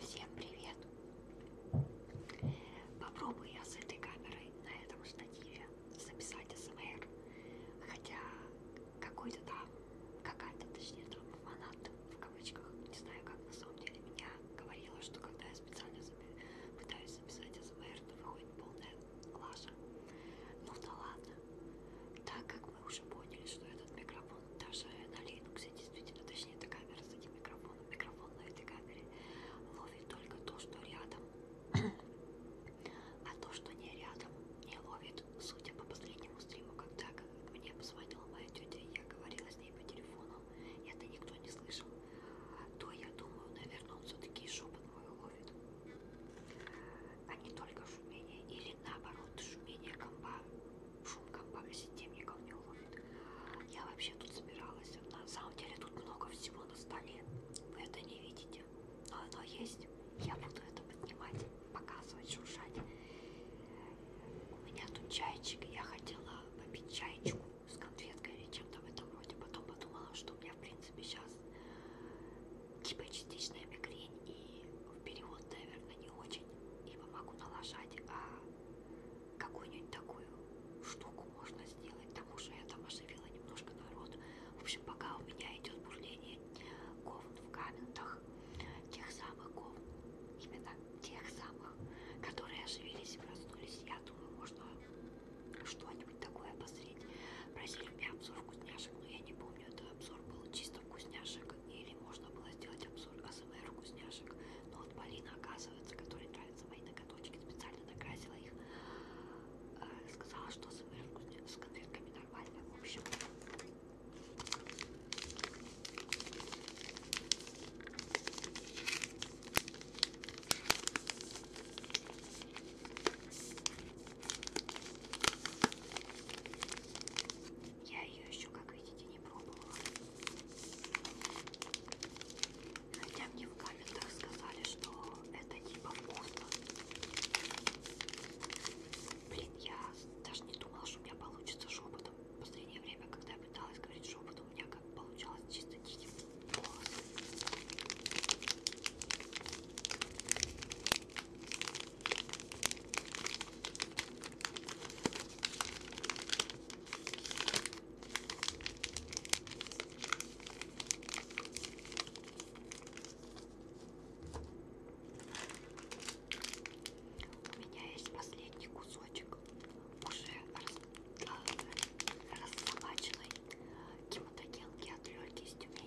Всем привет! Попробую я с этой камерой на этом штативе записать СМР. Хотя какой-то там, какая-то точнее там фанат в кавычках, не знаю как на самом деле, меня говорила, что когда я специально запи пытаюсь записать СМР, то выходит полная лажа. Ну да ладно, так как мы уже поняли, что этот микрофон даже на Linux действительно, точнее эта камера с этим микрофоном, микрофон на этой камере ловит только то, что рядом, а то, что не рядом, не ловит, судя по последнему стриму, когда мне позвонила моя тетя, я говорила с ней по телефону, и это никто не слышал, то я думаю, наверное, он все-таки шепот мой ловит, а не только шумение или или наоборот шумение компа, шум компа системников не уловит. Я вообще тут собиралась. На самом деле тут много всего на столе. Вы это не видите. Но оно есть. Я буду это поднимать, показывать, шуршать. У меня тут чайчик, я хотела попить чайчику с конфеткой или чем-то в этом роде. Потом подумала, что у меня в принципе сейчас типа частичная мигрень день и в перевод, наверное, не очень, ибо могу налажать, а какую-нибудь такую штуку можно сделать, потому что я там оживила немножко народу. В общем, пока у меня идет бурление говн в комментах, тех самых говн, именно тех самых, которые оживились и проснулись, я думаю, можно что-нибудь такое обозреть. Просили у меня обзор вкусняшек, но я не помню, это обзор был чисто просто вкусняшек, или можно было сделать обзор АСМР вкусняшек. Но вот Полина, оказывается, которой нравятся мои ноготочки, специально накрасила их, э, сказала, что АСМР вкусняшек с конфетками нормально. В общем... Я ее еще, как видите, не пробовала. Хотя мне в комментах сказали, что это типа вкусно. Блин, я даже не думала, что у меня получится шепотом. В последнее время, когда я пыталась говорить шепотом, у меня как получалось чисто тихим голосом. У меня есть последний кусочек уже а, рассобаченной кимотогенки от легкости. У меня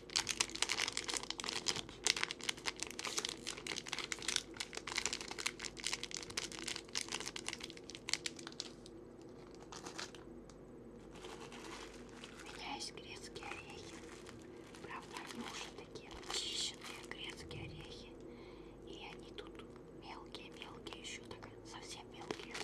У меня есть грецкие орехи. Правда, они уже такие чищенные грецкие орехи. И они тут мелкие-мелкие еще, так совсем мелкие.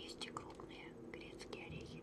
Есть и крупные грецкие орехи.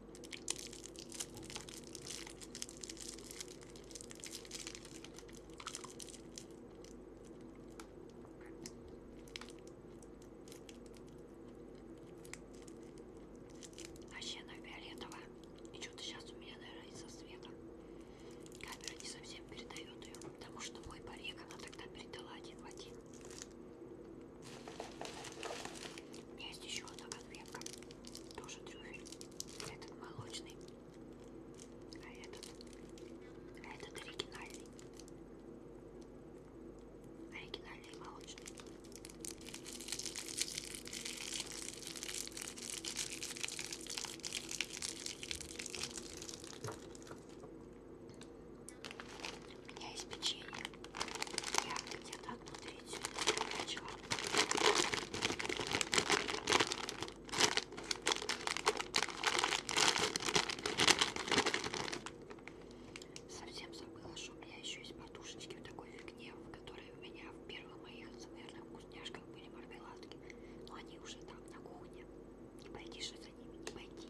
Вообще она фиолетовая. И что-то сейчас у меня, наверное, из-за света. Камера не совсем передает ее, потому что мой парик она тогда передала один в один. Есть еще одна конфетка. Тоже трюфель. Этот молочный. А этот. А этот оригинальный. Оригинальный молочный. У меня есть печенье. Я где-то оттуда идти начала. Совсем забыла, что у меня еще есть подушечки в такой фигне, в которой у меня в первых моих, наверное, вкусняшках были мармеладки. Но они уже там, на кухне. Не пойти же за ними, не пойти.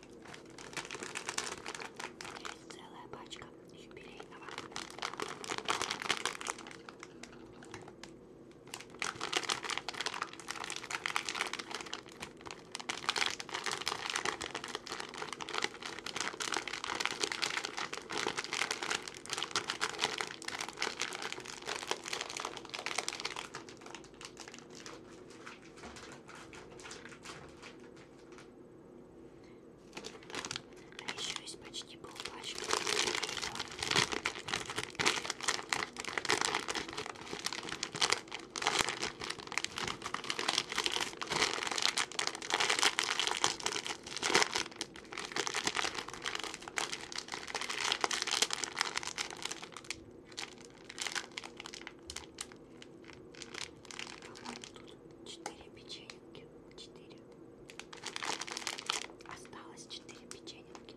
Здесь целая пачка юбилейного. А еще есть почти полпачки. По-моему, тут 4 печеньки. 4. Осталось 4 печеньки.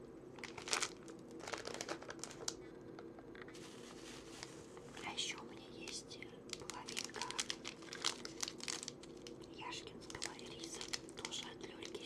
А еще у меня есть половинка Яшкинского риса. Тоже от Лёльки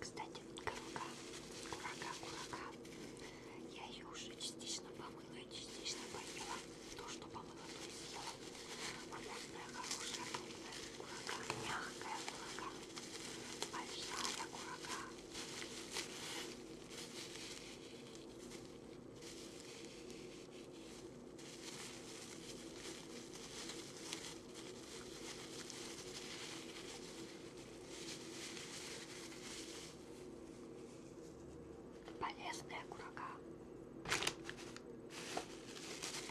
кстати, вот курага, курага, курага, я ее уже частично помыла помыла и частично поела. То, что помыла, то и съела. Вкусная, хорошая, крупная курака. Мягкая курака. Большая курака. М -м -м полезная курага.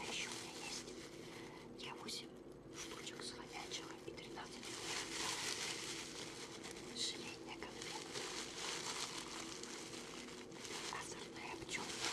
А еще у меня есть я 8 штучек с хомячего и 13 желейная конфетка. Озорная пчелка.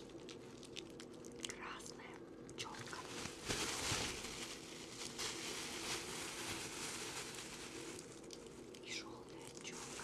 красная челка. И желтая челка.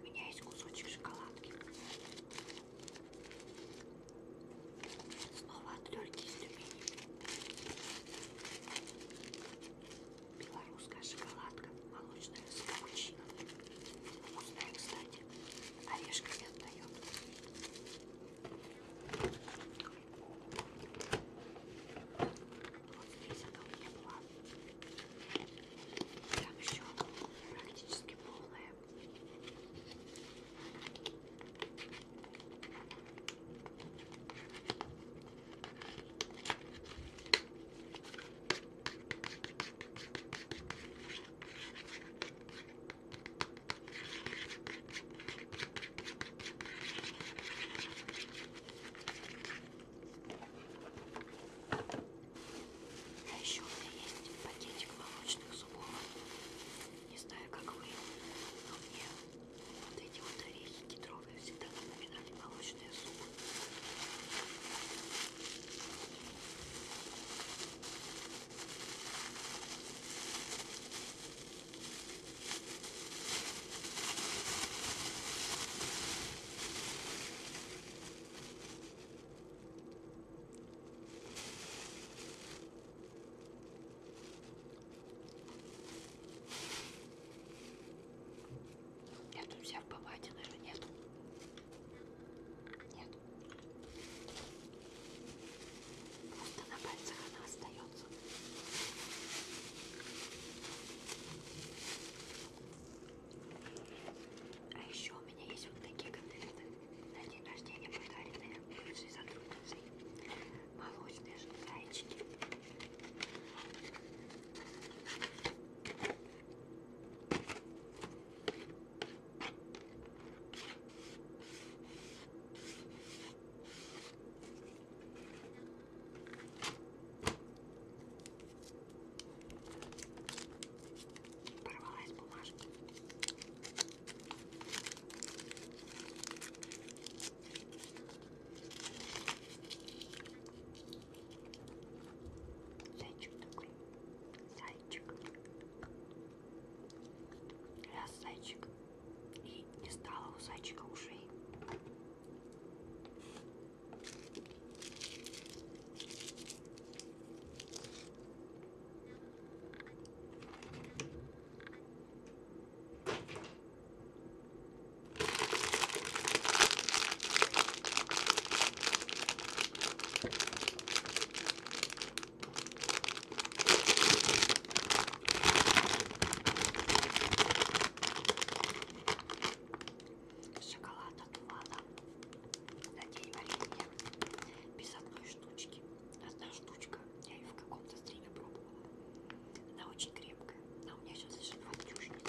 У меня есть кусочек шоколадки. Снова от Лёльки из Тюмени. Белорусская шоколадка, молочная с капучино. Вкусная, кстати. Орешки не отдает. Вот здесь она у меня была. Там еще практически полная. Ой, а еще у меня есть пакетик молочных зубов. Не знаю, как вы, но мне вот эти вот орехи кедровые всегда напоминали молочные зубы. Я тут взял бабатина же нет. Нет. Просто на пальцах она остается. А еще у меня есть вот такие конфеты на день рождения подаренные бывшей сотрудницей. Молочные зайчики. Порвалась бумажка. Зайчик такой. Зайчик. Раз зайчик и не стало у зайчика ушей. Шоколад от Влада на день рождения без одной штучки. Одна штучка. Я ее в каком-то стриме пробовала. Она очень крепкая. Но а у меня сейчас лежит фактюшница.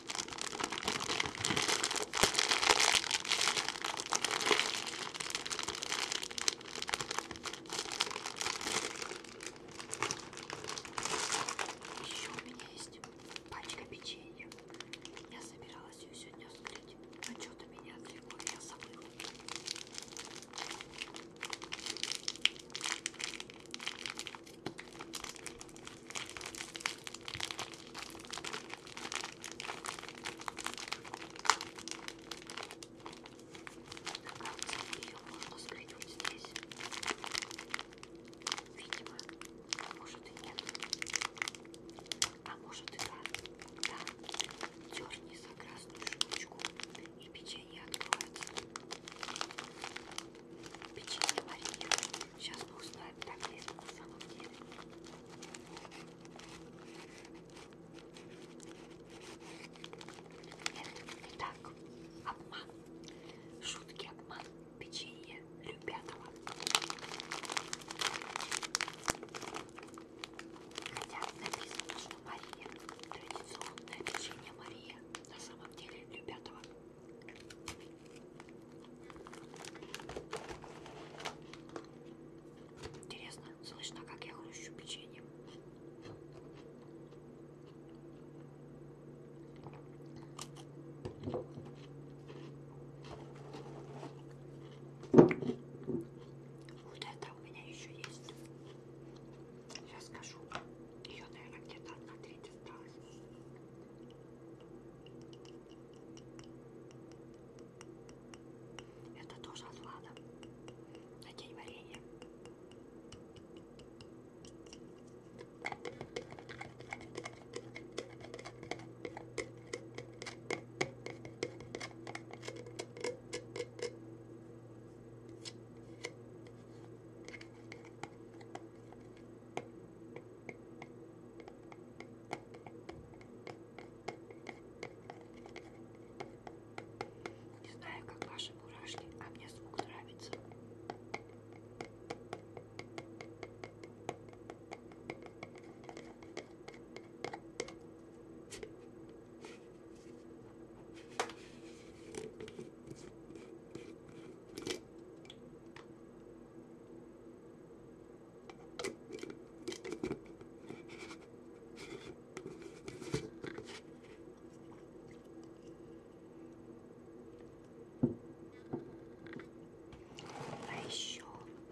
Еще у меня есть пачка печенья. Я собиралась ее сегодня вскрыть, но а что-то меня отвлекло, я забыла. Ее можно скрыть вот здесь. Видимо, может и нет. А может и да. Да. Дерни за красную штучку и печенье откроется. Печенье маринируется. Сейчас бог знает, так ли это на самом деле. Нет, не так. Обман. Шутки, обман. Печенье любятого. Хотя написано, что Мария. Традиционное печенье Мария. На самом деле любятого. Интересно, слышно, как я хрущу печенье? Вот это у меня еще есть. Сейчас скажу. Ее, наверное, где-то одна треть осталась. Это тоже от Влада. На день варенья. Не знаю, как ваши мурашки, а мне звук нравится. А еще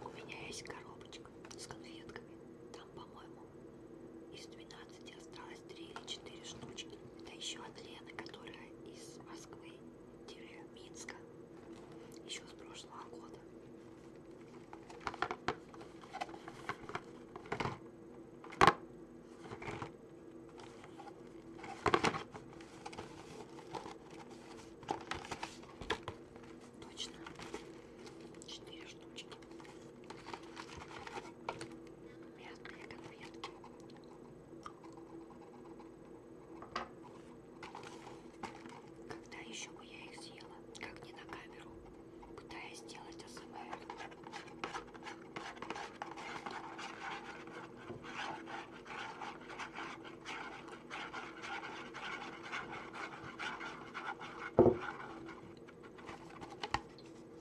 у меня есть коробочка с конфетками. Там, по-моему, из 12 осталось нас три или четыре штучки. Да еще от Лены, которая из Москвы-Минска. Еще с прошлого года. Точно четыре штучки мятные конфетки. Когда еще бы я их съела, как не на камеру, пытаясь сделать АСМР.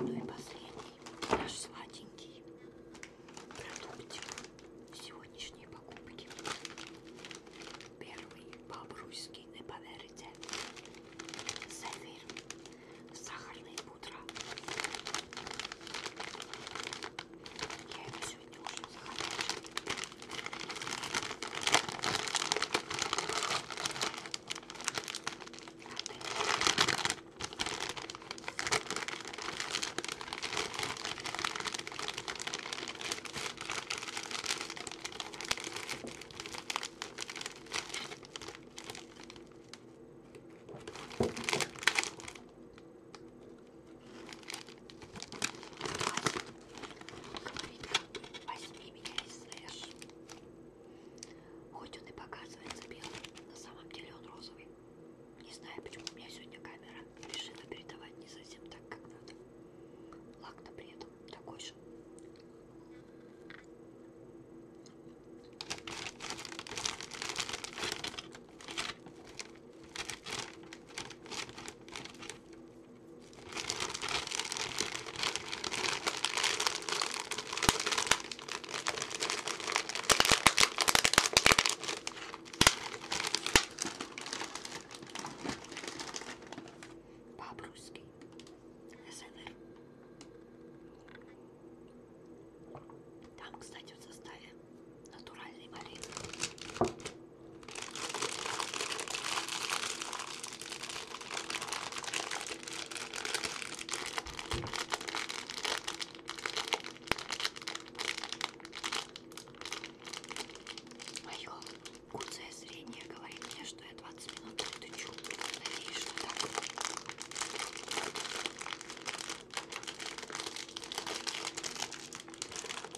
Ну и последний наш сладенький продуктик сегодняшней покупки. Первый по-брусски, не поверите. Сефир, сахарная пудра. Я его сегодня уже захотела. Говорит, как возьми меня и слышь. Хоть он и показывается белым, на самом деле он розовый. Не знаю, почему у меня сегодня камера решила передавать не совсем так, как надо. Лак-то при этом такой же. По-обрусски. СНР. Там, кстати, в составе натуральной малины. Мое куцое зрение говорит мне, что я 20 минут тычу. Надеюсь, что так.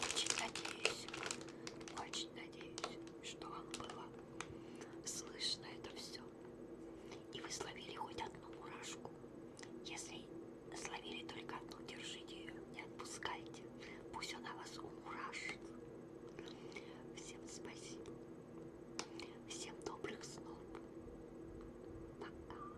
Очень надеюсь. Очень слышно. Надеюсь, что вам было слышно это все. И вы словили хоть одну мурашку. Если словили только одну, держите ее, не отпускайте. Пусть она вас умурашит. Всем спасибо. Всем добрых снов. Пока.